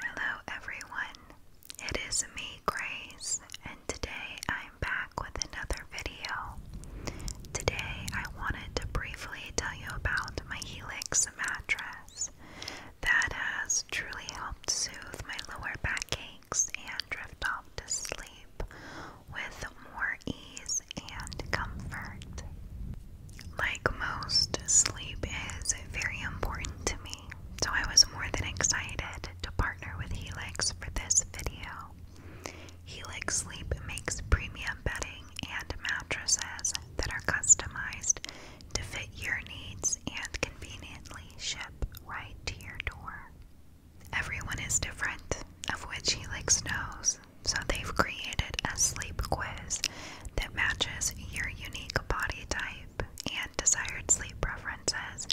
Hello everyone, it is me Grace and today I'm back with another video. Today I wanted to briefly tell you about my Helix mattress that has truly helped soothe my lower back aches and drift off to sleep with more ease and comfort. Like most, sleep is very important to me, so I was more than excited to partner with Helix for this video. Helix Sleep makes premium bedding and mattresses that are customized to fit your needs and conveniently ship right to your door. Everyone is different, of which Helix knows, so they've created a sleep quiz that matches your unique body type and desired sleep preferences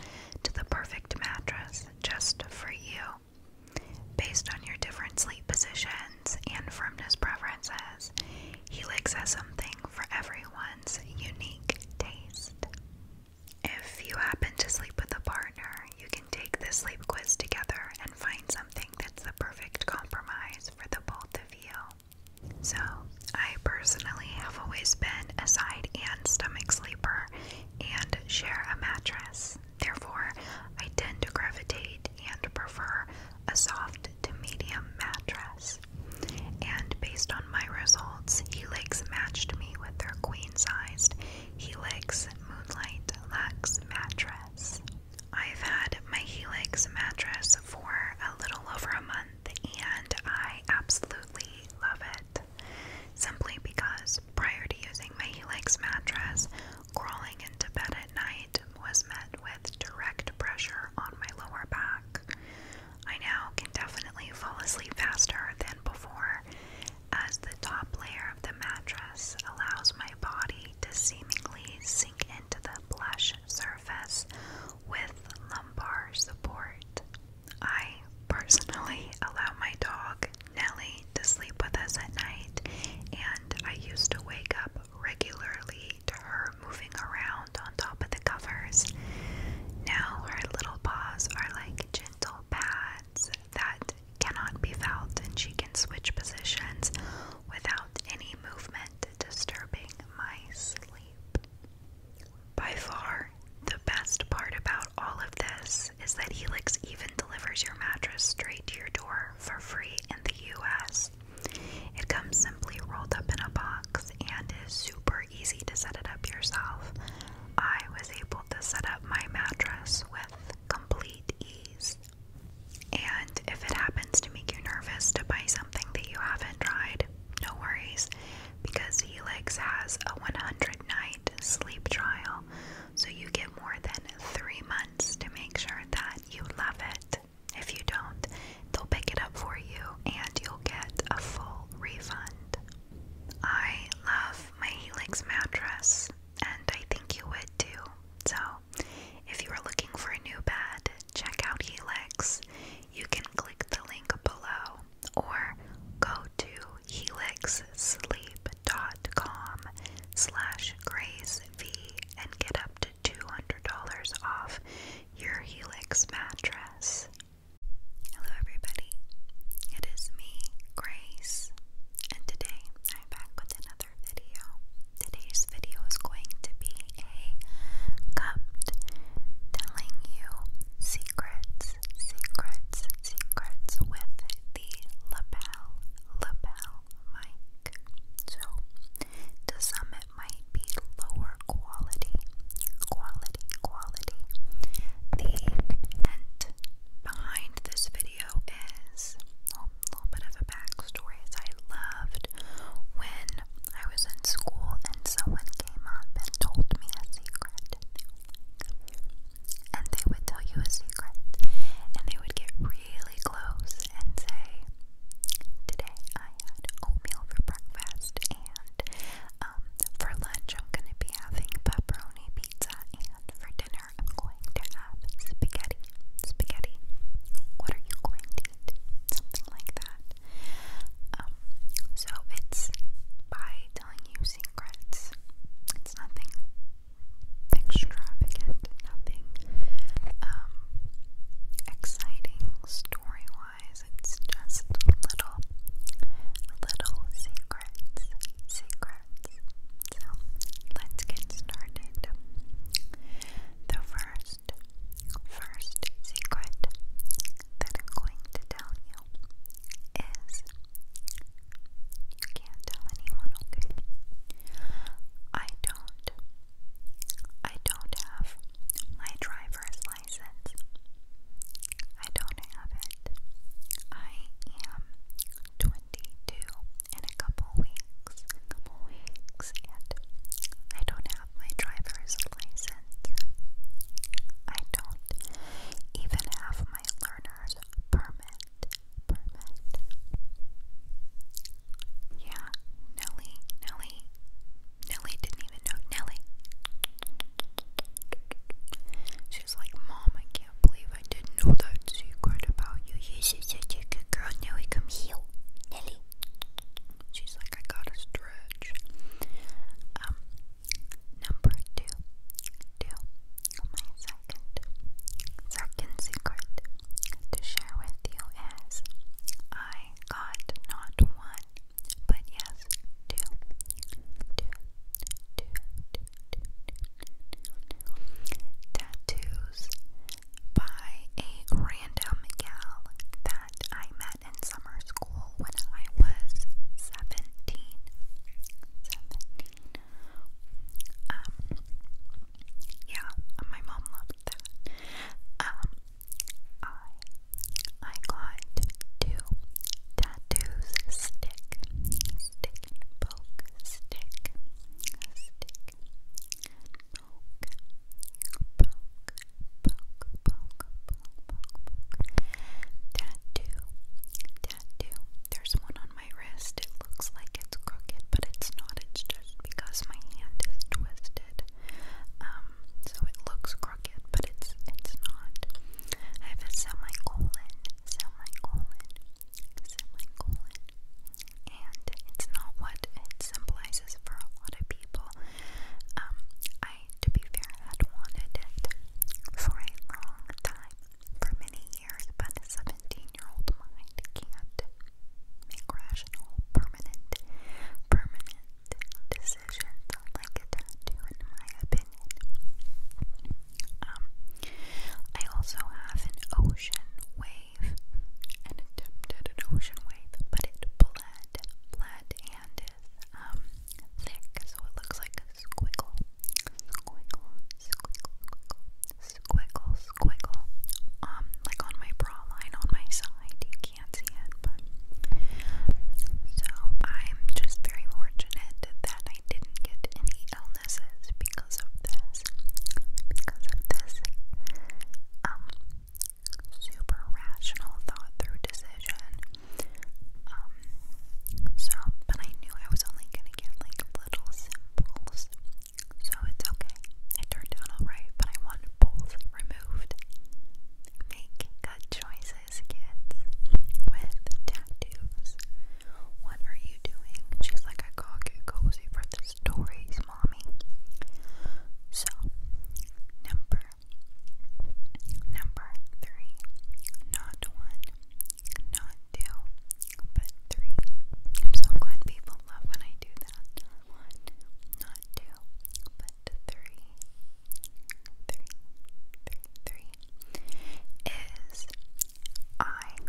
to the perfect mattress just for you. Based on your different sleep positions and firmness preferences, Helix has something for everyone's unique taste. If you happen to sleep with a partner, you can take this sleep quiz together and find something that's the perfect compromise for the both of you. So, I personally have always been a side and stomach sleeper and share a mattress. Therefore, I tend to gravitate and prefer a soft to medium mattress. And based on my results, Helix matched me with their queen sized Helix Moonlight Lux mattress. I've had my Helix mattress for a little over a month and I absolutely love it. Simply because prior to using my Helix mattress, crawling into bed at night was met with direct pressure on my lower back. I now can definitely fall asleep faster than before, as the top layer of the mattress allows my body to seemingly sink into the plush surface with lumbar support. I personally allow my dog, Nelly to sleep with us at night, and I used to wake up regularly to her moving around on top of the covers. Now her little paws are like gentle pads that cannot be felt, and she can switch positions without any movement disturbing my sleep. By far, the best part about all of this is that Helix even delivers your mattress straight to your door for free in the US. It comes simply rolled up in a box and is super easy to set it up yourself. I was able to set up my mattress with complete ease. And if it happens to make you nervous to buy something that you haven't tried, no worries because Helix has a 100 night sleep trial, so you get more than three months to make sure that you love it. If you don't, they'll pick it up for you and you'll get a full refund. I love my Helix mattress and I think you would too. So, if you are looking for a new bed, check out Helix, you can click the link below or go to helixsleep.com slash grace v and get up to $200 off your Helix mattress. Hello everybody, it is me, Grace, and today I'm back with another another video. Today's video is going to be a cupped telling you secrets, secrets, secrets with the lapel, lapel mic. So, to some, it might be lower quality, quality, quality. The end behind this video is. Oh, little bit of a backstory is I loved when I was in school and someone came up and told me a secret. And they would tell you a secret. And they would get really close and say, Today I had oatmeal for breakfast and um for lunch I'm gonna be having pepperoni pizza and for dinner I'm going to have spaghetti spaghetti. What are you going to eat? Something like that. Um, so it's by telling you secrets. It's nothing extravagant, nothing um, exciting story-wise. It's just little, little secrets, secrets. So let's get started. The first, first secret that I'm going to tell you is you can't tell anyone, okay? I don't, I don't have my driver's license. I don't have it. I am 20 in a couple weeks. couple weeks, and I don't have my driver's license. I don't even have my learner's permit. Yeah, Nelly, Nelly, Nelly didn't even know. Nelly. She's like, Mom, I can't believe I didn't know that secret about you she's such a good girl. Nelly, come heal. Nelly. She's like, I gotta stretch. Um, number two. Two. Oh, my second. Second secret to share with you is I got not one, but yes, two. Tattoos by a random gal that I met in summer school when I was 17. Um, yeah, my mom loved that. Um, I, I got two tattoos, stick, stick poke, stick, stick Tattoo. Tattoo. There's one on my wrist. It looks like it's crooked, but it's not. It's just because my hand is twisted. Um, so it looks crooked, but it's it's not. I have a semicolon. Semicolon semicolon, and it's not what it symbolizes for a lot of people. Um, I, to be fair, had wanted it for a long time, for many years, but a 17-year-old mind can't make rational, permanent, permanent decisions like a tattoo, in my opinion. Um, I also have an ocean wave and attempted an ocean wave, but it bled, bled, and is um, thick, so it looks like a squiggle. Squiggle, squiggle, squiggle, squiggle, squiggle. Um, like on my bra line on my side, you can't see it, but. So I'm just very fortunate that I didn't get any illnesses because because of this, because of this um super rational thought through decision. Um, so but I knew I was only gonna get like little symbols. So it's okay. It turned out alright, but I want both removed. Make good choices, kids, with tattoos. What are you doing? She's like, I gotta get cozy for the stories, mommy. So, number, number three, not one, not two, but 3 so glad people love when I do that. One, not two, but three, three, three, three is I am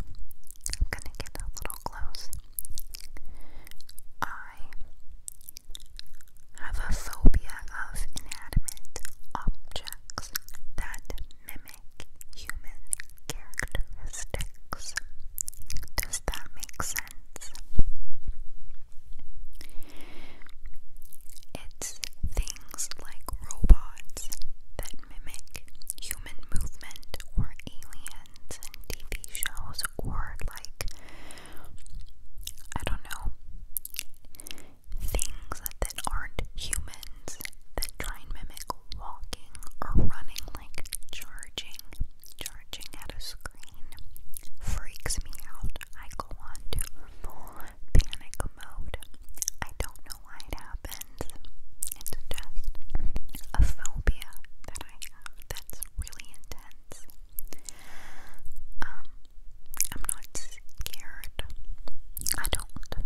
gonna get a little close. I have a phobia of inanimate objects that mimic human characteristics. Does that make sense? It's things like robots that mimic human human movement or aliens and TV shows or like I don't know things that, aren't humans that try and mimic walking or running like charging charging at a screen freaks me out. I go on to panic mode. I don't it happens. It's a phobia that I have that's really intense. Um, I'm not scared. I don't.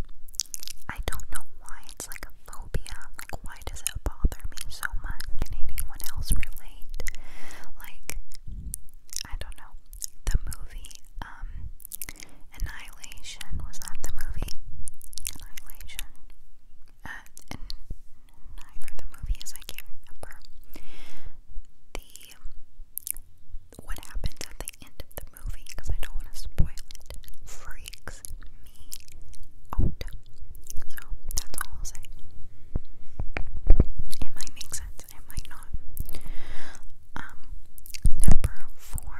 I don't know why it's like a phobia. Like, why does it bother me so much? Can anyone else relate? Like, I don't know. The movie, um, Annihilation, was that the movie? Annihilation. Uh, and the movie is, I can't remember. The, what happens at the end of the movie, because I don't want to spoil it, freaks me out. So, that's all I'll say. It might make sense, it might not. Um, number four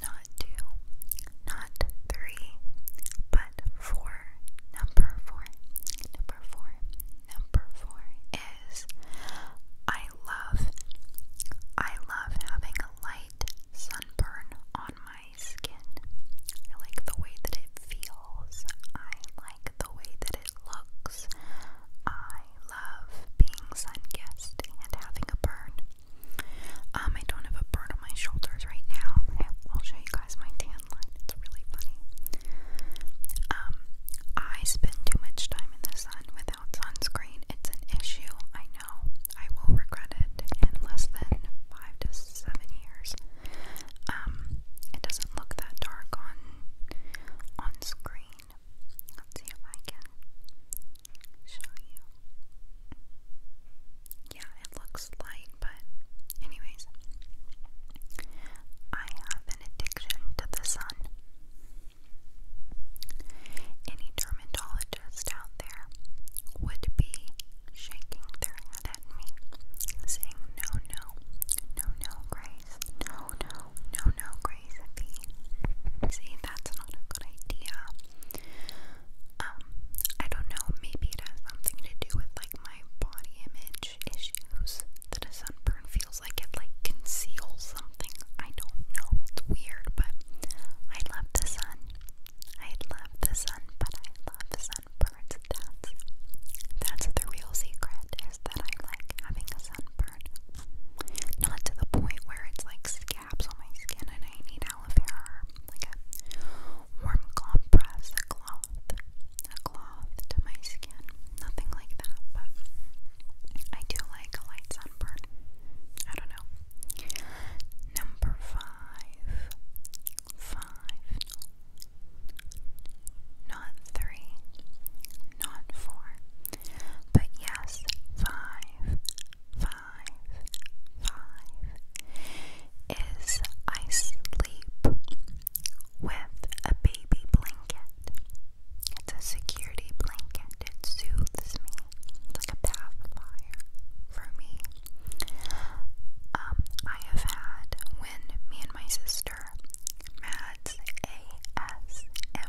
not two, not three, but four. Number four, number four, number four is I love, I love having a light sunburn on my skin. I like the way that it feels. I like the way that it looks. I love being sun kissed and having a burn. Um, I don't have a burn on my shoulders right now. I'll show you guys my tan line. It's really funny. Um, I spend too much time in the sun without sunscreen. It's an issue. I know. I will regret it in less than five to seven years. Um, it doesn't look that dark on on screen, Let's see if I can show you. Yeah, it looks light, but, anyways, I have an addiction to the sun. Any dermatologist out there would be shaking their head at me, saying, No, no, no, no, Grace, no, no, no, no, Grace. See, that's not a good idea. Um, I don't know, maybe it has something to do with like my body image issues that a sunburn feels like it like conceals something. I don't know, it's weird, but I love the sun. I love the sun, but I love sunburns. That's that's the real secret is that I like having a sunburn not to the point where it's like scabs on my skin and I need aloe vera or like a warm compress, a cloth, a cloth to my skin. Nothing like that, but I do like a light sunburn. I don't know. Number five. Five. Not three not four, but yes, five, five, five is I sleep with a baby blanket. It's a security blanket. It soothes me. It's like a pacifier for me. Um, I have had when me and my sister ASMR,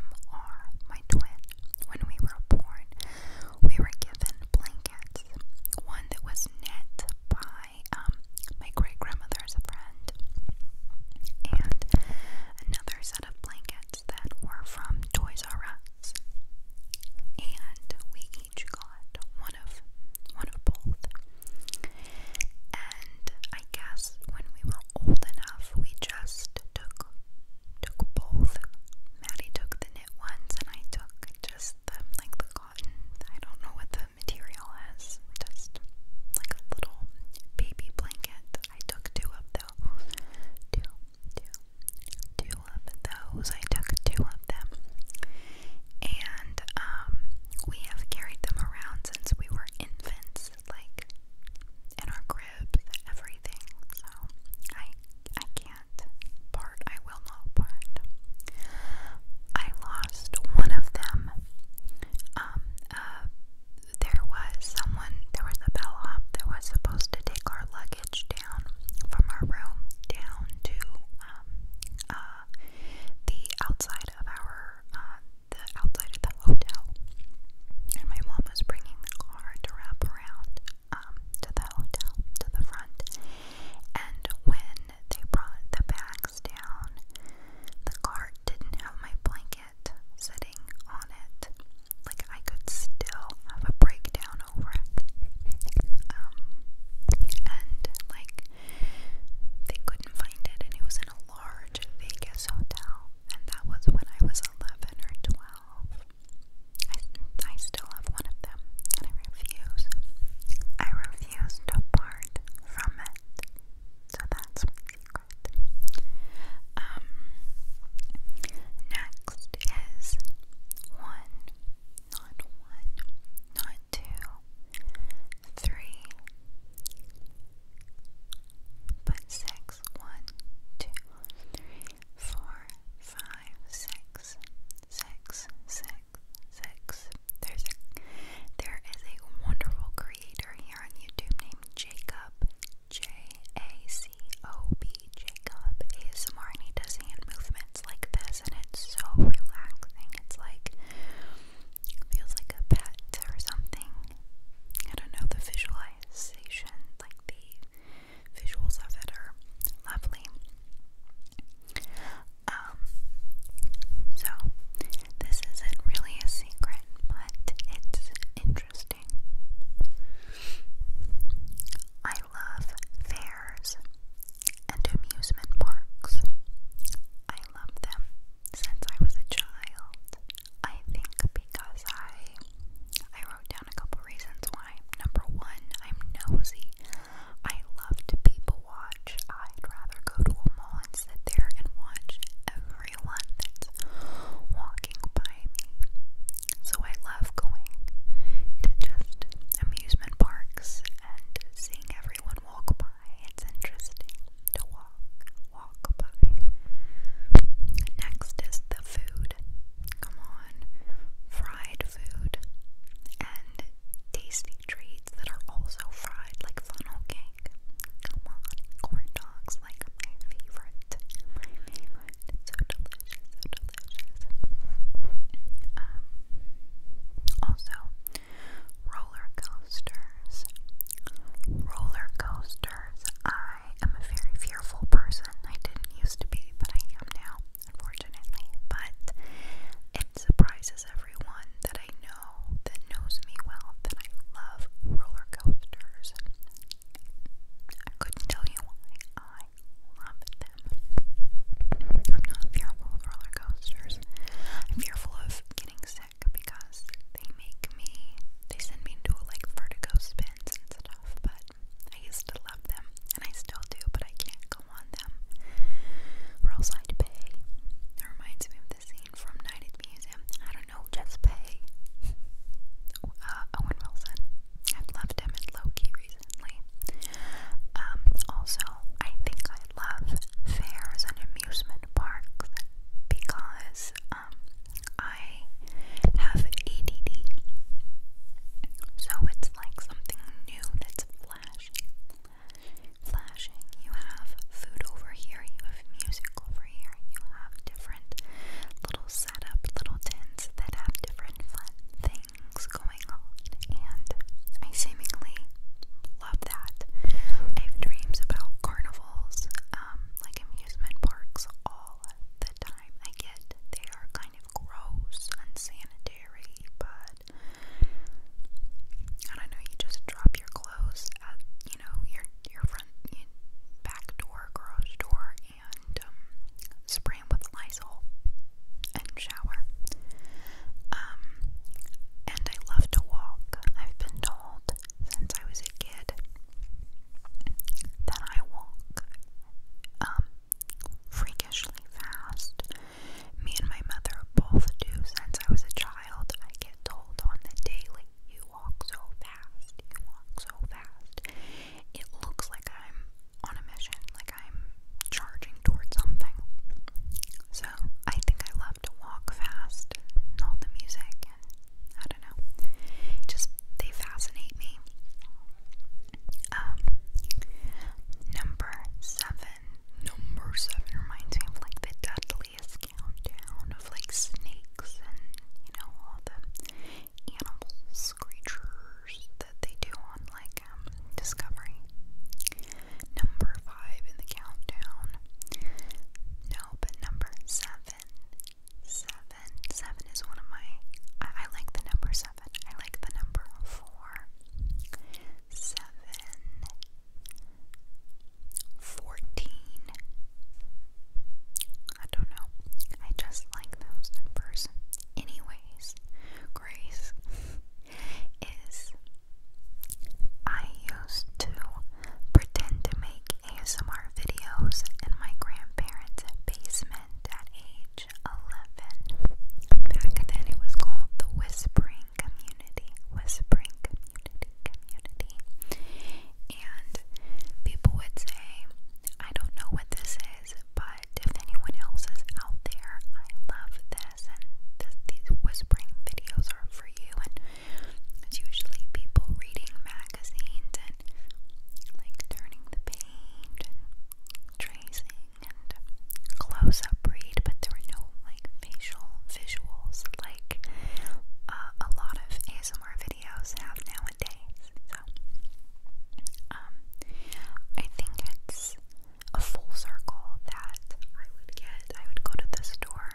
my twin. When we were born, we were given blankets. One that was knit by um, my great grandmother's friend, and another set of blankets that were from Toys R Us. And we each got one of one of both. I guess when we were old enough, we just took took both. Maddie took the knit ones, and I took just the like the cotton. I don't know what the material is. Just like a little baby blanket. I took two of those. Two, two, two of those. I took two of them, and um, we have carried them around since we were infants like in our cribs, everything. So I I can't part. I will not part. I lost one of them. Um uh, there was someone there was a bellhop that was supposed to take our luggage down from our room down to um uh the outside of our uh, the outside of the hotel, and my mom was bringing the car to wrap around um, to the hotel, to the front. And when they brought the bags down, the cart didn't have my blanket sitting on it. Like I could still have a breakdown over it. Um, and like they couldn't find it, and it was in a large Vegas hotel and that was when I was 11 or 12. I, I still have one of them, and I refuse. I refuse to part from it. So that's my secret. Um, next is one, not one, not two, three, but six, one, two, three, four, five, six, six, six, six. There's a there is a wonderful creator here on YouTube named Jacob. J A C O B Jacob ASMR and he does hand movements like this and it's so relaxing. It's like feels like a pet or something. I don't know, the visualization, like the visuals of it lovely. Um, so, this isn't really a secret, but it's interesting. I love fairs and amusement parks. I love them since I was a child. I think because I I wrote down a couple reasons why. Number one, I'm nosy. I love to people watch. I'd rather go to a mall and sit there and watch everyone that's walking by me. So I love going to just amusement parks and seeing everyone walk by. It's interesting to walk, walk by. Next is the food. Come on, fried food and tasty treats that are also fried, like funnel cake. Come on, corn dogs, like my favorite. My favorite. It's so delicious, so delicious. Um, also, Roller coasters. Roller coasters. I am a very fearful person. I didn't used to be, but I am now, unfortunately. But it surprises everyone that I know, that knows me well, that I love roller coasters. I couldn't tell you why I love them. I'm not fearful of roller coasters. I'm fearful of getting sick sick because they make me, they send me into like vertigo spins and stuff, but I used to love them and I still do, but I can't go on them or else I'd pay. It reminds me of the scene from Night at the Museum. I don't know, just pay. Uh, Owen Wilson. I've loved him in Loki recently. Um, also, I think I love fairs and amusement parks because um, I have ADD. So it's like something new that's flashing. Flashing. You have food over here, you have music over here, you have different little setup, little tents that have different fun things going on. And I seemingly love that. I have dreams about carnivals, um, like amusement parks, all the time. I get they are kind of gross, unsanitary, but I know. You just drop your clothes at you know your your front back door, garage door, and um, spray them with Lysol and shower. Um, and I love to walk. I've been to since I was a kid that I walk um, freakishly fast. Me and my mother both do since I was a child. I get told on the daily, you walk so fast, you walk so fast. It looks like I'm on a mission, like I'm charging towards something. So I think I love to walk fast and all the music and I don't know. Just they fascinate me. Um number seven. Number seven reminds me of like the Dudley's countdown of like snakes and you know all the animals, creatures that they do on like um Discovery. Number five in the countdown. No, but number seven. Seven. is one of my. I, like the number seven. I like the number four. Seven. Fourteen. I don't know. I just like those numbers. Anyways, Grace is I used to pretend to make ASMR videos in my grandparents' basement at age 11. Back then it was called the Whispering Community. Whispering Community, And people would say, I don't know what this is, but if anyone else is out there, I love this. And these whispering videos for, for you. And it's usually people reading magazines and like turning the page and tracing and close up read, but there were no like facial visuals like uh, a lot of ASMR videos have nowadays. So, um, I think it's a full circle that I would get. I would go to the store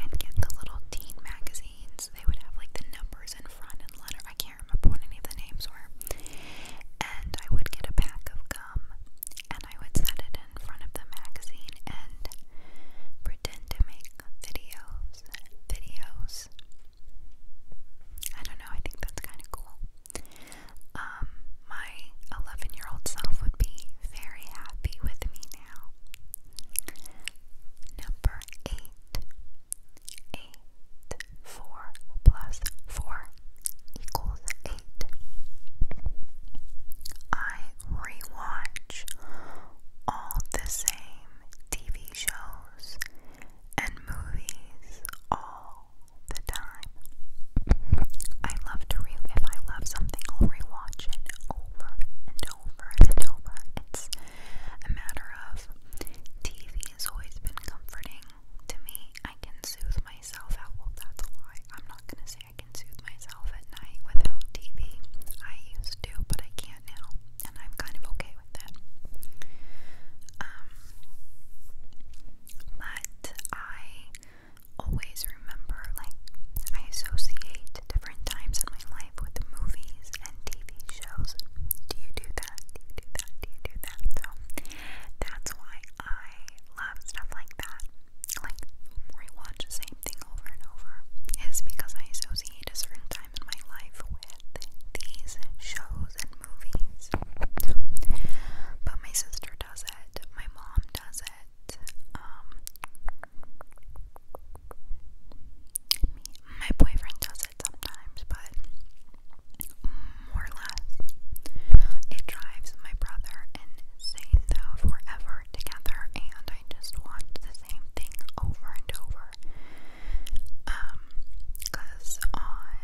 and get the little teen magazines. They would have like the numbers in front and letter. I can't remember what any of the names were. And I would get a pack of gum and I would set it in front of the magazine and pretend to make videos. Videos. I don't know, I think that's kind of cool. Um, my 11 year old self would be very happy with me now. Number 8. 4 equals 8. I rewatch all the same TV shows and movies all the time. I love to re if I love something, I'll rewatch it over and over and over. It's a matter of TV has always been comforting to me. I can soothe myself out. Well, that's a lie. I'm not gonna say I can soothe myself at night without TV. I used to, but I can't now, and I'm kind of okay with it. Um, but I always remember, like, I associate different times in my life with movies and TV shows. Do you do that? Do you do that? Do you do that? So that's why I love stuff like that. Like, rewatch the same thing over and over is because I associate certain time in my life with these shows and movies. but my sister does it, my mom does that um me, my boyfriend does it sometimes, but more or less it drives my brother insane though forever together, and I just watch the same thing over and over. Um, cause on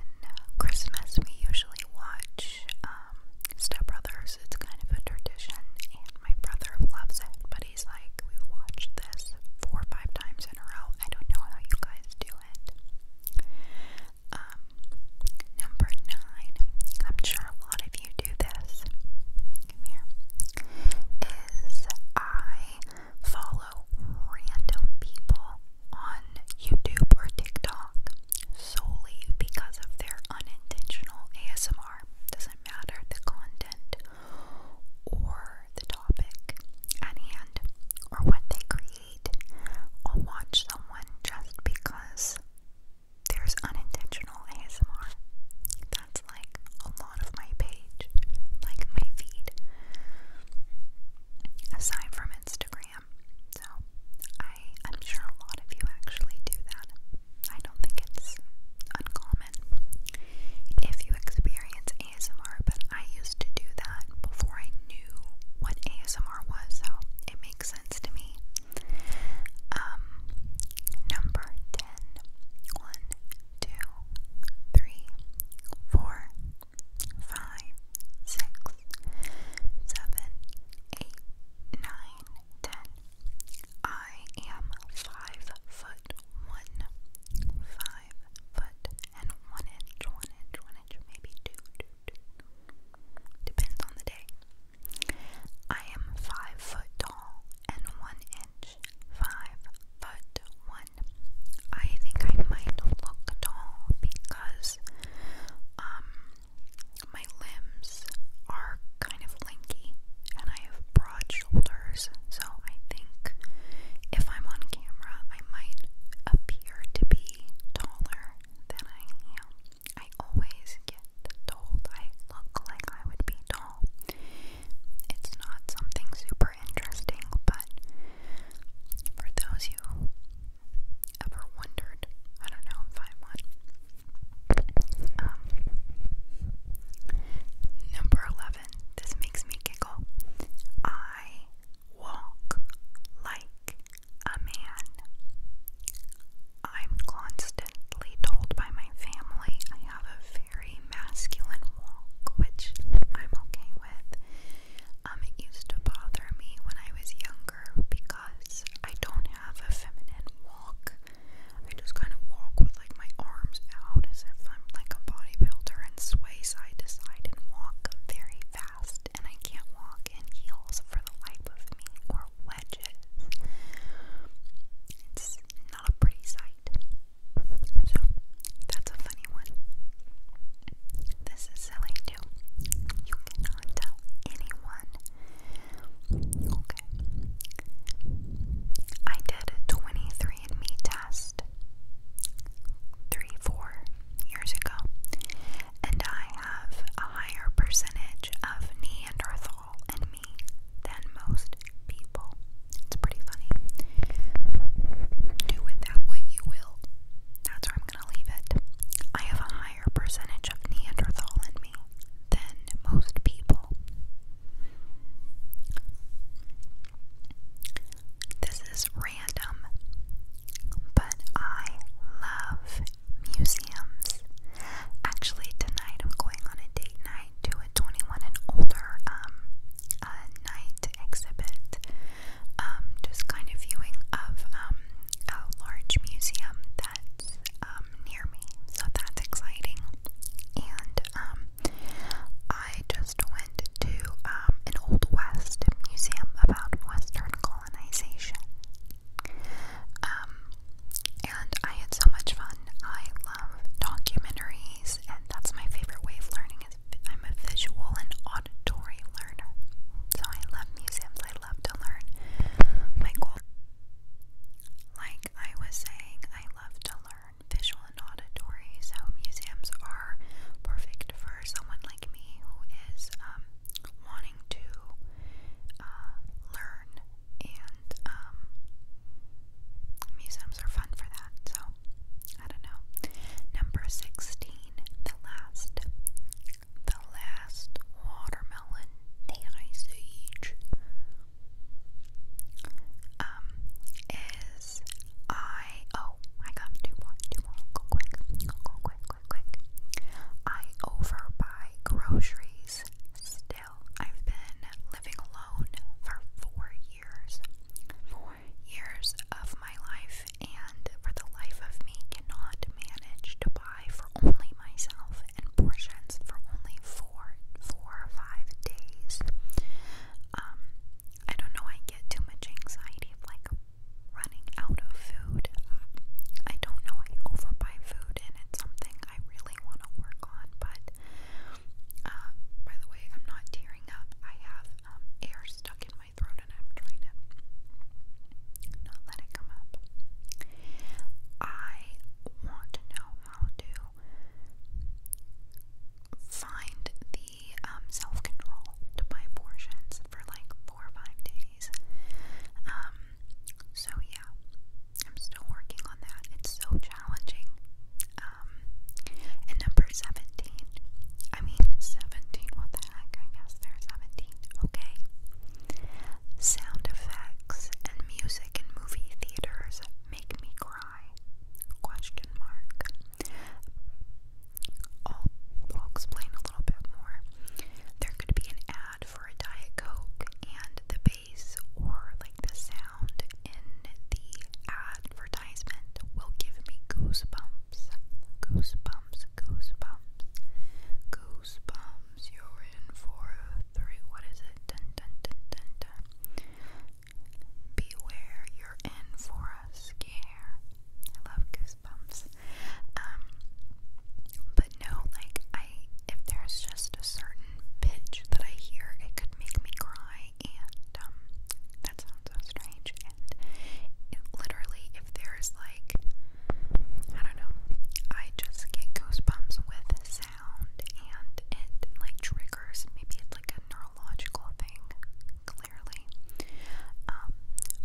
Christmas we usually watch watch um, Step Brothers. It's kind of a tradition, and my brother loves it. But he's like, we watch this four or five times in a row. I don't know how you guys do it. Um, number nine. I'm sure a lot of you do this. Come here. Is I follow random people on YouTube or TikTok. TikTok solely because of their unintentional ASMR. Doesn't matter the content or the topic at hand or what they create. I'll watch someone just because there's unintentional ASMR. That's like a lot of my page, like my feed. Aside from Instagram am. So I, I'm sure a lot of you actually do that. I don't think it's uncommon if you experience ASMR, but I used to do that before I knew what ASMR was, so it makes sense to me. Um, number 10. 1, 2, 3, 4, 5, 6, seven, eight, nine, ten. I am five foot one. Five foot and one inch, one inch, one inch, maybe two, two, two. Depends on the day. I am five foot tall and one inch. Five foot one. I think I might look tall because um my limbs are kind of lanky and I have broad shoulders, so I think if I'm on camera, I might appear to be taller than I am. I always get told I look like I would be tall. It's not something super interesting, but for those who ever wondered, I don't know if I um, number 11, this makes me giggle. I walk like a man. I'm constantly told by my family I have a very masculine walk, which I'm okay with. Um, it used to bother me when I was younger because I don't have a feminine walk. I just kind of walk with like my arms out as if I'm like a bodybuilder and sway side to side and walk very fast. And I can't walk in heels for the life of me or wedges. It's not a pretty sight. So, that's a funny one. This is silly too. You cannot tell anyone. Okay. I did a 23andMe test three, four years ago, and I have a higher percentage of Neanderthal in me than most people. It's pretty funny. Do with that what you will. That's what gonna leave it. I have a higher percentage of Neanderthal in me than most people. This is random, but I love museums. Actually, tonight I'm going on a date night to a 21 and older um, night exhibit um, just kind of viewing of um, a large museum that's um, near me, so that's exciting. And um, I just went to um, an Old West museum about Western colonization. Um, and I had so much fun. I love documentaries, and that's my favorite way of learning. Is I'm a visual and auditory learner. So I love museums. I love to learn. My goal, like I was saying, I love to learn visual and auditory. So museums are perfect for someone like me who is um, wanting to uh, learn, and um, museums are fun for that. So I don't know. Number sixteen, the last the Last Watermelon, The Age, um, is I, oh, I got two more, two more, go quick, go, go quick, quick, quick. I overbuy groceries still. I've been living alone for four years, four years of my life and for the life of me cannot manage to buy for only myself and portions for only four four or five days. Um I don't know I get too much anxiety of like running out of food. I don't know I overbuy food and it's something I really want to work on but uh, by the way I'm not tearing up. I have um, air stuck in my throat and I'm trying to not let it come up. I want to know how to find the um, self control to buy portions for like four or five days. Um, so yeah, I'm still working on that. It's so challenging. Um, and number 17, I mean 17, what the back. I guess they're 17. Okay. Sound effects and music in movie theaters make me cry. Question mark. I'll, explain a little bit more. There could be an ad for a Diet Coke, and the bass or like the sound in the advertisement will give me goosebumps. Goosebumps goosebumps, goosebumps, You're in for three. What is it? Dun Beware, you're in for a scare. I love goosebumps. Um, but no, like I, if there's just a certain pitch that I hear, it could make me cry, and um, that's so strange. And it literally, if there's like, I don't know, I just get goosebumps with sound and it like triggers. Maybe it's like a neurological thing, clearly. Um,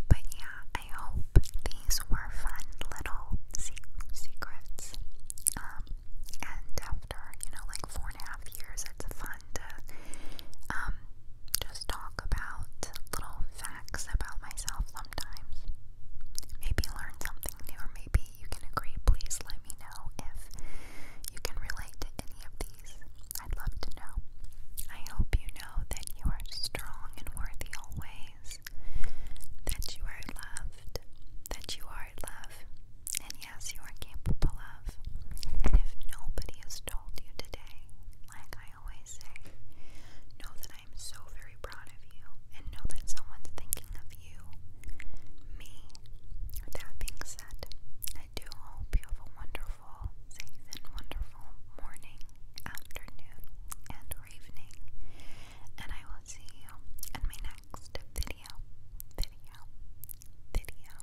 but yeah, I hope these were fun little secrets. Um, and after, you know, like four and a half years, it's fun um, just talk about little facts about myself sometimes. Maybe learn something new, or maybe you can agree. Please let me know if you can relate to any of these. I'd love to know. I hope you know that you are strong and worthy always, that you are loved, that you are love, and yes, you are capable of. And if nobody has told you today, like I always say, know that I am so very proud of you and know that someone's thinking of you. Me. With that being said, I do hope you have a wonderful, safe, and wonderful morning, afternoon, and evening. And I will see you in my next video. Video. Video.